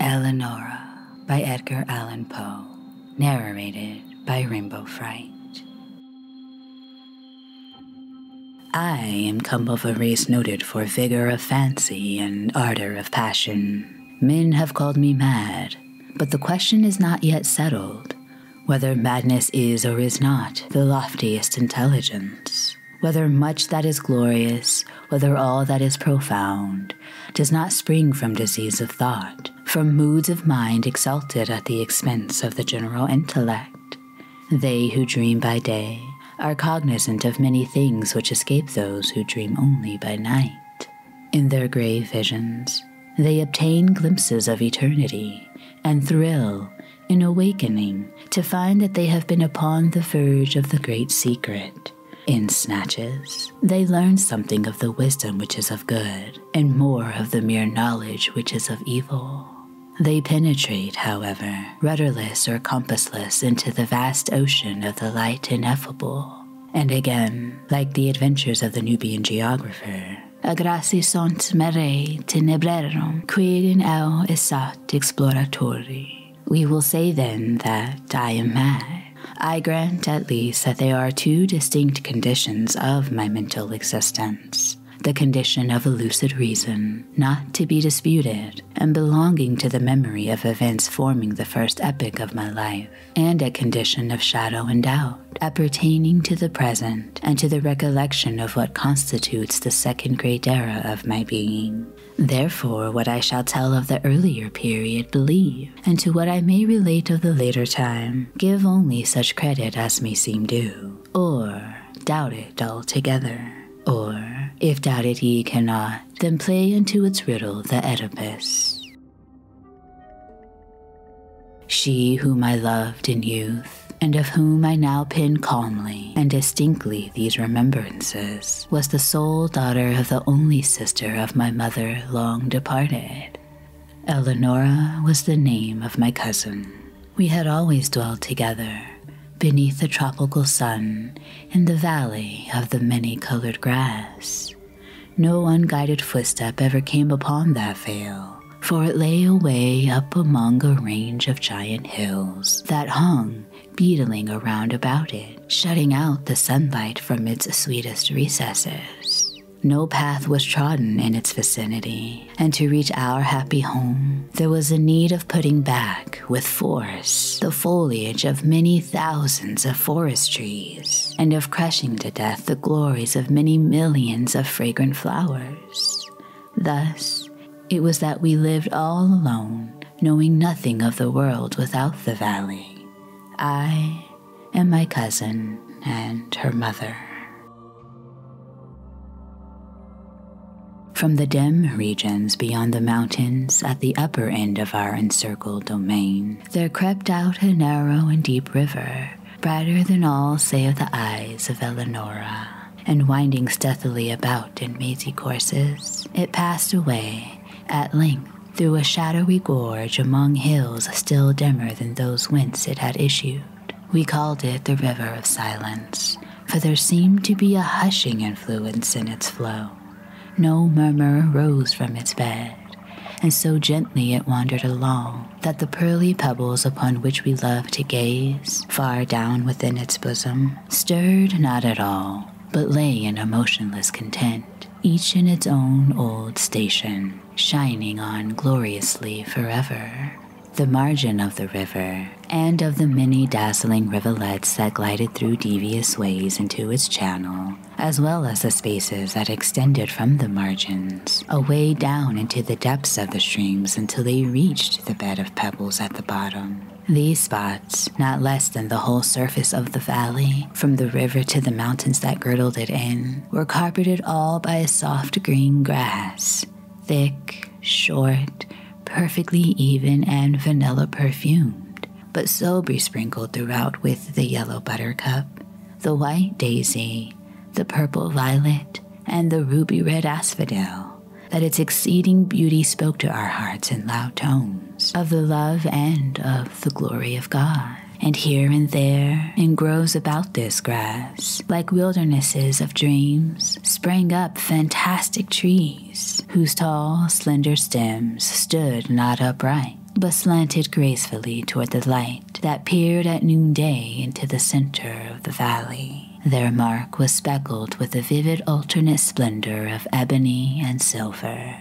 Eleonora by Edgar Allan Poe, narrated by Rainbow Fright. I am come of a race noted for vigor of fancy and ardor of passion. Men have called me mad, but the question is not yet settled whether madness is or is not the loftiest intelligence whether much that is glorious, whether all that is profound, does not spring from disease of thought, from moods of mind exalted at the expense of the general intellect. They who dream by day are cognizant of many things which escape those who dream only by night. In their grave visions, they obtain glimpses of eternity and thrill in awakening to find that they have been upon the verge of the great secret. In snatches, they learn something of the wisdom which is of good, and more of the mere knowledge which is of evil. They penetrate, however, rudderless or compassless into the vast ocean of the light ineffable. And again, like the adventures of the Nubian geographer, Agrasi sunt mare tenebrarum, quid in eu esat exploratori. We will say then that I am mad. I grant at least that there are two distinct conditions of my mental existence the condition of a lucid reason, not to be disputed, and belonging to the memory of events forming the first epoch of my life, and a condition of shadow and doubt, appertaining to the present and to the recollection of what constitutes the second great era of my being. Therefore, what I shall tell of the earlier period, believe, and to what I may relate of the later time, give only such credit as may seem due, or doubt it altogether, or, if doubt it ye cannot, then play into its riddle the Oedipus. She whom I loved in youth, and of whom I now pin calmly and distinctly these remembrances, was the sole daughter of the only sister of my mother long departed. Eleonora was the name of my cousin. We had always dwelled together, beneath the tropical sun, in the valley of the many colored grass. No unguided footstep ever came upon that vale, for it lay away up among a range of giant hills that hung beetling around about it, shutting out the sunlight from its sweetest recesses. No path was trodden in its vicinity, and to reach our happy home, there was a need of putting back, with force, the foliage of many thousands of forest trees, and of crushing to death the glories of many millions of fragrant flowers. Thus, it was that we lived all alone, knowing nothing of the world without the valley. I and my cousin and her mother. From the dim regions beyond the mountains at the upper end of our encircled domain, there crept out a narrow and deep river, brighter than all save the eyes of Eleonora and winding stealthily about in mazy courses, it passed away at length through a shadowy gorge among hills still dimmer than those whence it had issued. We called it the River of Silence, for there seemed to be a hushing influence in its flow. No murmur rose from its bed, and so gently it wandered along that the pearly pebbles upon which we loved to gaze, far down within its bosom, stirred not at all, but lay in a motionless content, each in its own old station, shining on gloriously forever. The margin of the river, and of the many dazzling rivulets that glided through devious ways into its channel, as well as the spaces that extended from the margins, away down into the depths of the streams until they reached the bed of pebbles at the bottom. These spots, not less than the whole surface of the valley, from the river to the mountains that girdled it in, were carpeted all by a soft green grass, thick, short, perfectly even, and vanilla perfumed, but so besprinkled throughout with the yellow buttercup, the white daisy, the purple violet, and the ruby red asphodel that its exceeding beauty spoke to our hearts in loud tones of the love and of the glory of God. And here and there, in groves about this grass, like wildernesses of dreams, sprang up fantastic trees, whose tall, slender stems stood not upright, but slanted gracefully toward the light that peered at noonday into the center of the valley. Their mark was speckled with the vivid alternate splendor of ebony and silver,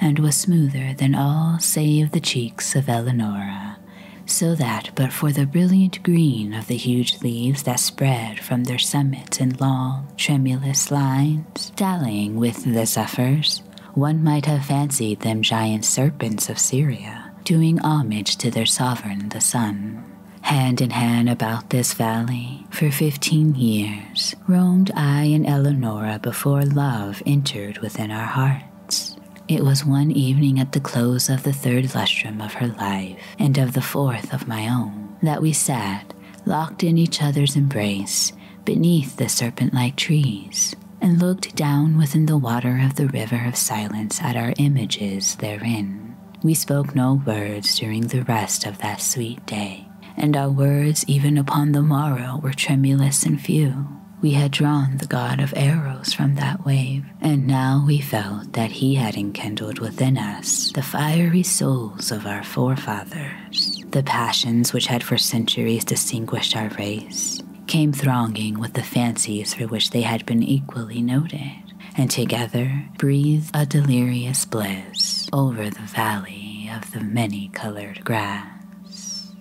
and was smoother than all save the cheeks of Eleonora, so that but for the brilliant green of the huge leaves that spread from their summits in long, tremulous lines, dallying with the zephyrs, one might have fancied them giant serpents of Syria, doing homage to their sovereign the sun. Hand in hand about this valley for fifteen years, roamed I and Eleonora before love entered within our hearts. It was one evening at the close of the third lustrum of her life, and of the fourth of my own, that we sat, locked in each other's embrace, beneath the serpent like trees, and looked down within the water of the river of silence at our images therein. We spoke no words during the rest of that sweet day, and our words even upon the morrow were tremulous and few. We had drawn the god of arrows from that wave, and now we felt that he had enkindled within us the fiery souls of our forefathers. The passions which had for centuries distinguished our race came thronging with the fancies for which they had been equally noted and together breathe a delirious bliss over the valley of the many colored grass.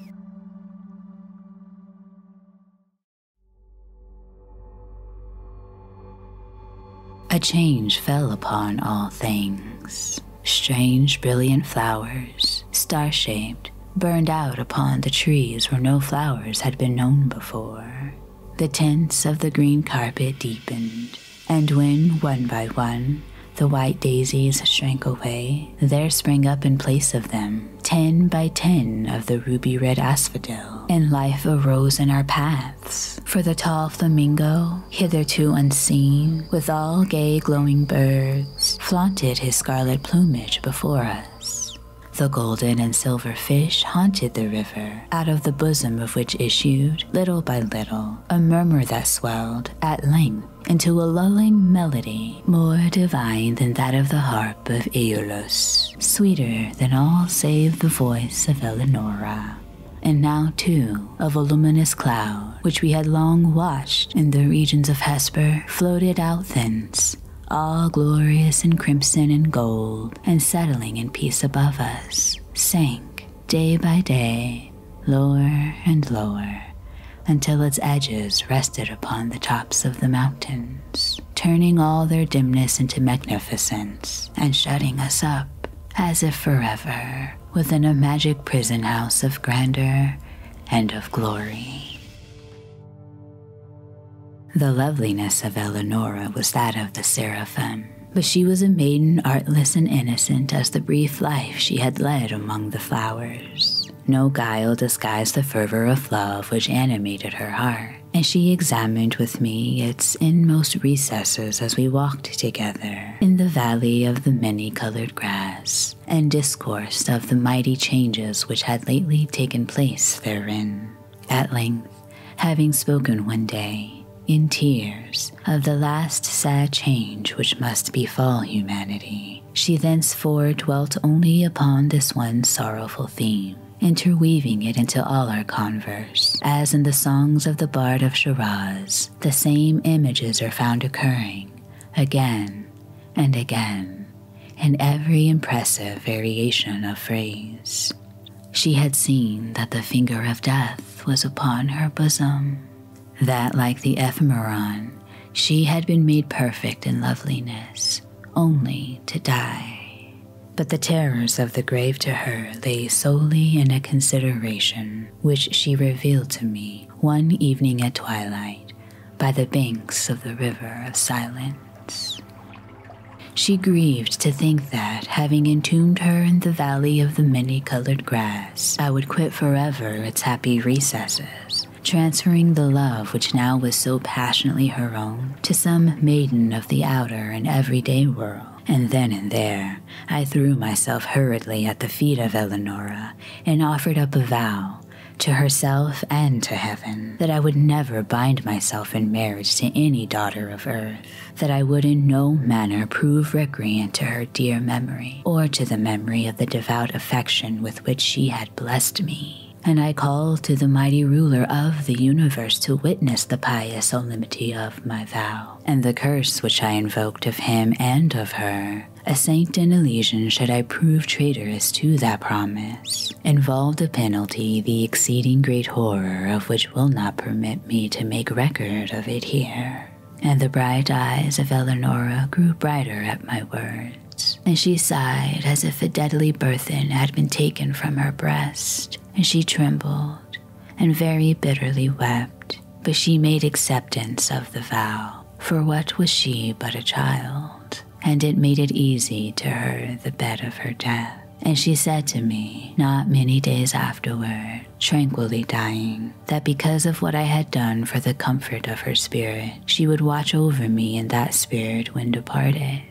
A change fell upon all things. Strange, brilliant flowers, star shaped, burned out upon the trees where no flowers had been known before. The tints of the green carpet deepened, and when, one by one, the white daisies shrank away, there sprang up in place of them ten by ten of the ruby red asphodel, and life arose in our paths. For the tall flamingo, hitherto unseen, with all gay glowing birds, flaunted his scarlet plumage before us. The golden and silver fish haunted the river, out of the bosom of which issued, little by little, a murmur that swelled, at length, into a lulling melody, more divine than that of the harp of Aeolus, sweeter than all save the voice of Eleonora. And now, too, a voluminous cloud, which we had long watched in the regions of Hesper, floated out thence, all glorious in crimson and gold and settling in peace above us, sank day by day, lower and lower, until its edges rested upon the tops of the mountains, turning all their dimness into magnificence and shutting us up, as if forever, within a magic prison house of grandeur and of glory. The loveliness of Eleonora was that of the seraphim, but she was a maiden artless and innocent as the brief life she had led among the flowers. No guile disguised the fervor of love which animated her heart, and she examined with me its inmost recesses as we walked together in the valley of the many colored grass, and discoursed of the mighty changes which had lately taken place therein. At length, having spoken one day, in tears, of the last sad change which must befall humanity, she thenceforward dwelt only upon this one sorrowful theme, interweaving it into all our converse, as in the songs of the Bard of Shiraz, the same images are found occurring again and again in every impressive variation of phrase. She had seen that the finger of death was upon her bosom, that like the ephemeron, she had been made perfect in loveliness, only to die. But the terrors of the grave to her lay solely in a consideration which she revealed to me one evening at twilight by the banks of the river of silence. She grieved to think that, having entombed her in the valley of the many colored grass, I would quit forever its happy recesses, transferring the love which now was so passionately her own to some maiden of the outer and everyday world. And then and there, I threw myself hurriedly at the feet of Eleonora and offered up a vow to herself and to heaven that I would never bind myself in marriage to any daughter of earth, that I would in no manner prove recreant to her dear memory, or to the memory of the devout affection with which she had blessed me. And I call to the mighty ruler of the universe to witness the pious solemnity of my vow, and the curse which I invoked of him and of her. A saint and Elysian should I prove traitorous to that promise, involved a penalty the exceeding great horror of which will not permit me to make record of it here. And the bright eyes of Eleonora grew brighter at my words, and she sighed as if a deadly burthen had been taken from her breast, and she trembled and very bitterly wept. But she made acceptance of the vow, for what was she but a child? and it made it easy to her the bed of her death. And she said to me, not many days afterward, tranquilly dying, that because of what I had done for the comfort of her spirit, she would watch over me in that spirit when departed.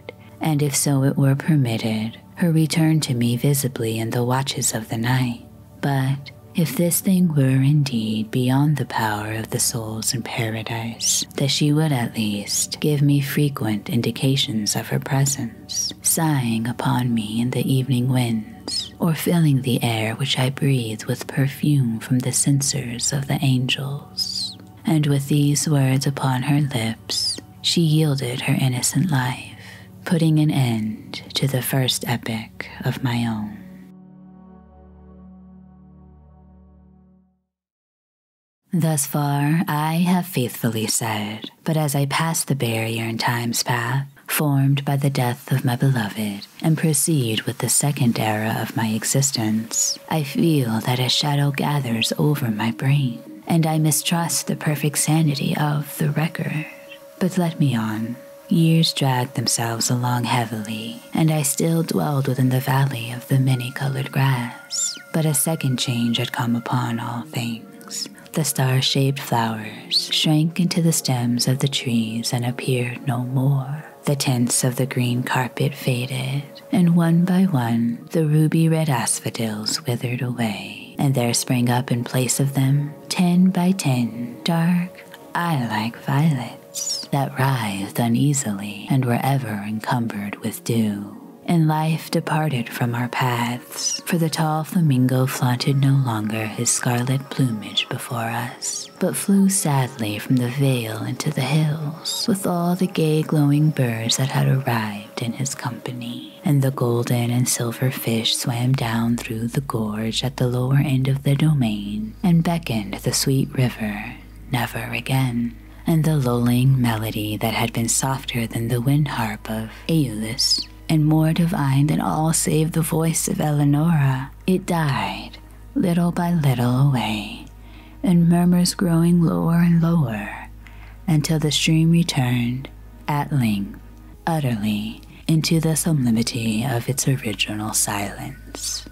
And if so it were permitted, her return to me visibly in the watches of the night. But if this thing were indeed beyond the power of the souls in paradise, that she would at least give me frequent indications of her presence, sighing upon me in the evening winds, or filling the air which I breathe with perfume from the censers of the angels. And with these words upon her lips, she yielded her innocent life, putting an end to the first epic of my own. Thus far, I have faithfully said, but as I pass the barrier in time's path, formed by the death of my beloved, and proceed with the second era of my existence, I feel that a shadow gathers over my brain, and I mistrust the perfect sanity of the record. But let me on. Years dragged themselves along heavily, and I still dwelled within the valley of the many colored grass but a second change had come upon all things. The star shaped flowers shrank into the stems of the trees and appeared no more. The tints of the green carpet faded, and one by one the ruby red asphodels withered away, and there sprang up in place of them, ten by ten, dark, eye like violets that writhed uneasily and were ever encumbered with dew and life departed from our paths, for the tall flamingo flaunted no longer his scarlet plumage before us, but flew sadly from the vale into the hills, with all the gay glowing birds that had arrived in his company. And the golden and silver fish swam down through the gorge at the lower end of the domain and beckoned the sweet river never again and the lulling melody that had been softer than the wind harp of Aeolus, and more divine than all save the voice of Eleonora, it died little by little away, in murmurs growing lower and lower, until the stream returned, at length, utterly, into the sublimity of its original silence.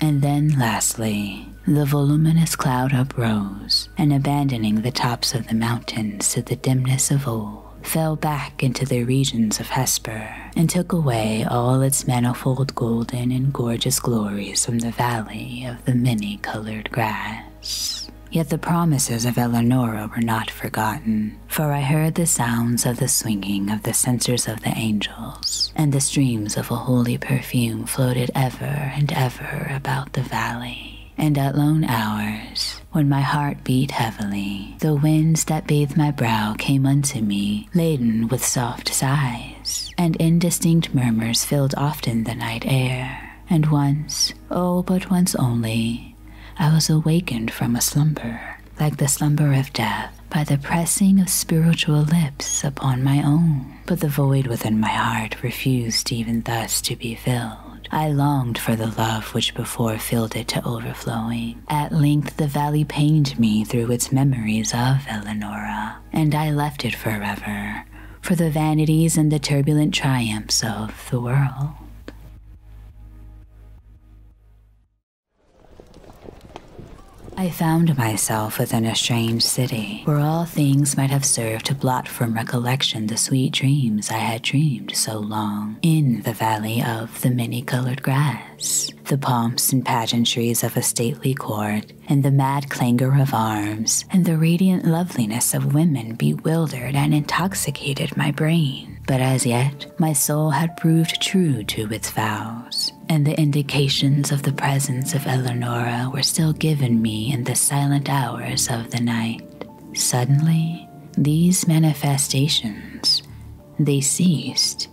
And then, lastly, the voluminous cloud uprose, and abandoning the tops of the mountains to the dimness of old, fell back into the regions of Hesper, and took away all its manifold golden and gorgeous glories from the valley of the many-colored grass. Yet the promises of Eleonora were not forgotten, for I heard the sounds of the swinging of the censers of the angels, and the streams of a holy perfume perfume floated ever and ever about the valley, and at lone hours, when my heart beat heavily, the winds that bathed my brow came unto me, laden with soft sighs, and indistinct murmurs filled often the night air. And once, oh, but once only, I was awakened from a slumber, like the slumber of death, by the pressing of spiritual lips upon my own but the void within my heart refused even thus to be filled. I longed for the love which before filled it to overflowing. At length the valley pained me through its memories of Eleonora, and I left it forever for the vanities and the turbulent triumphs of the world. I found myself within a strange city where all things might have served to blot from recollection the sweet dreams I had dreamed so long. In the valley of the many colored grass, the pomps and pageantries of a stately court, and the mad clangor of arms, and the radiant loveliness of women bewildered and intoxicated my brain. But as yet, my soul had proved true to its vows and the indications of the presence of Eleonora were still given me in the silent hours of the night. Suddenly, these manifestations, they ceased,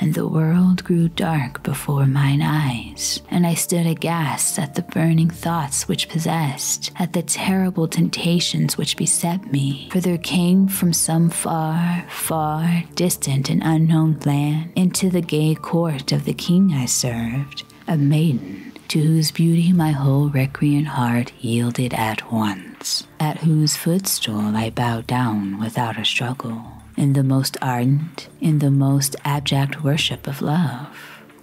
and the world grew dark before mine eyes, and I stood aghast at the burning thoughts which possessed, at the terrible temptations which beset me, for there came from some far, far distant and unknown land into the gay court of the king I served, a maiden to whose beauty my whole recreant heart yielded at once, at whose footstool I bowed down without a struggle, in the most ardent, in the most abject worship of love.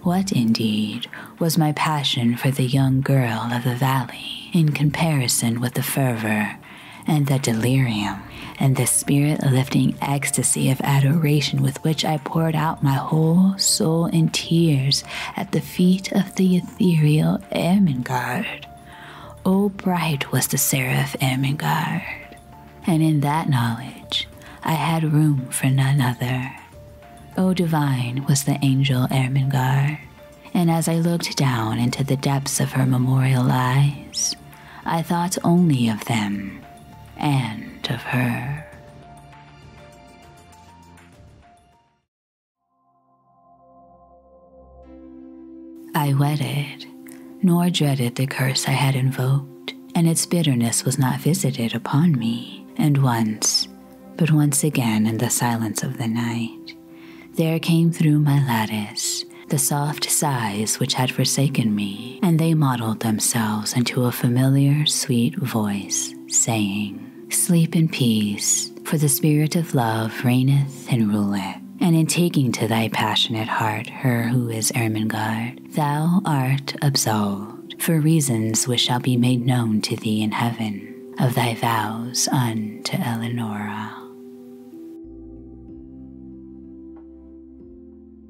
What, indeed, was my passion for the young girl of the valley in comparison with the fervor and the delirium and the spirit lifting ecstasy of adoration with which I poured out my whole soul in tears at the feet of the ethereal Ermengarde. Oh, bright was the seraph Ermengarde, and in that knowledge I had room for none other. Oh, divine was the angel Ermengarde, and as I looked down into the depths of her memorial eyes, I thought only of them and of her. I wedded, nor dreaded the curse I had invoked, and its bitterness was not visited upon me. And once, but once again in the silence of the night, there came through my lattice the soft sighs which had forsaken me, and they modeled themselves into a familiar, sweet voice, saying, Sleep in peace, for the spirit of love reigneth and ruleth. And in taking to thy passionate heart her who is Ermengarde, thou art absolved, for reasons which shall be made known to thee in heaven, of thy vows unto Eleonora.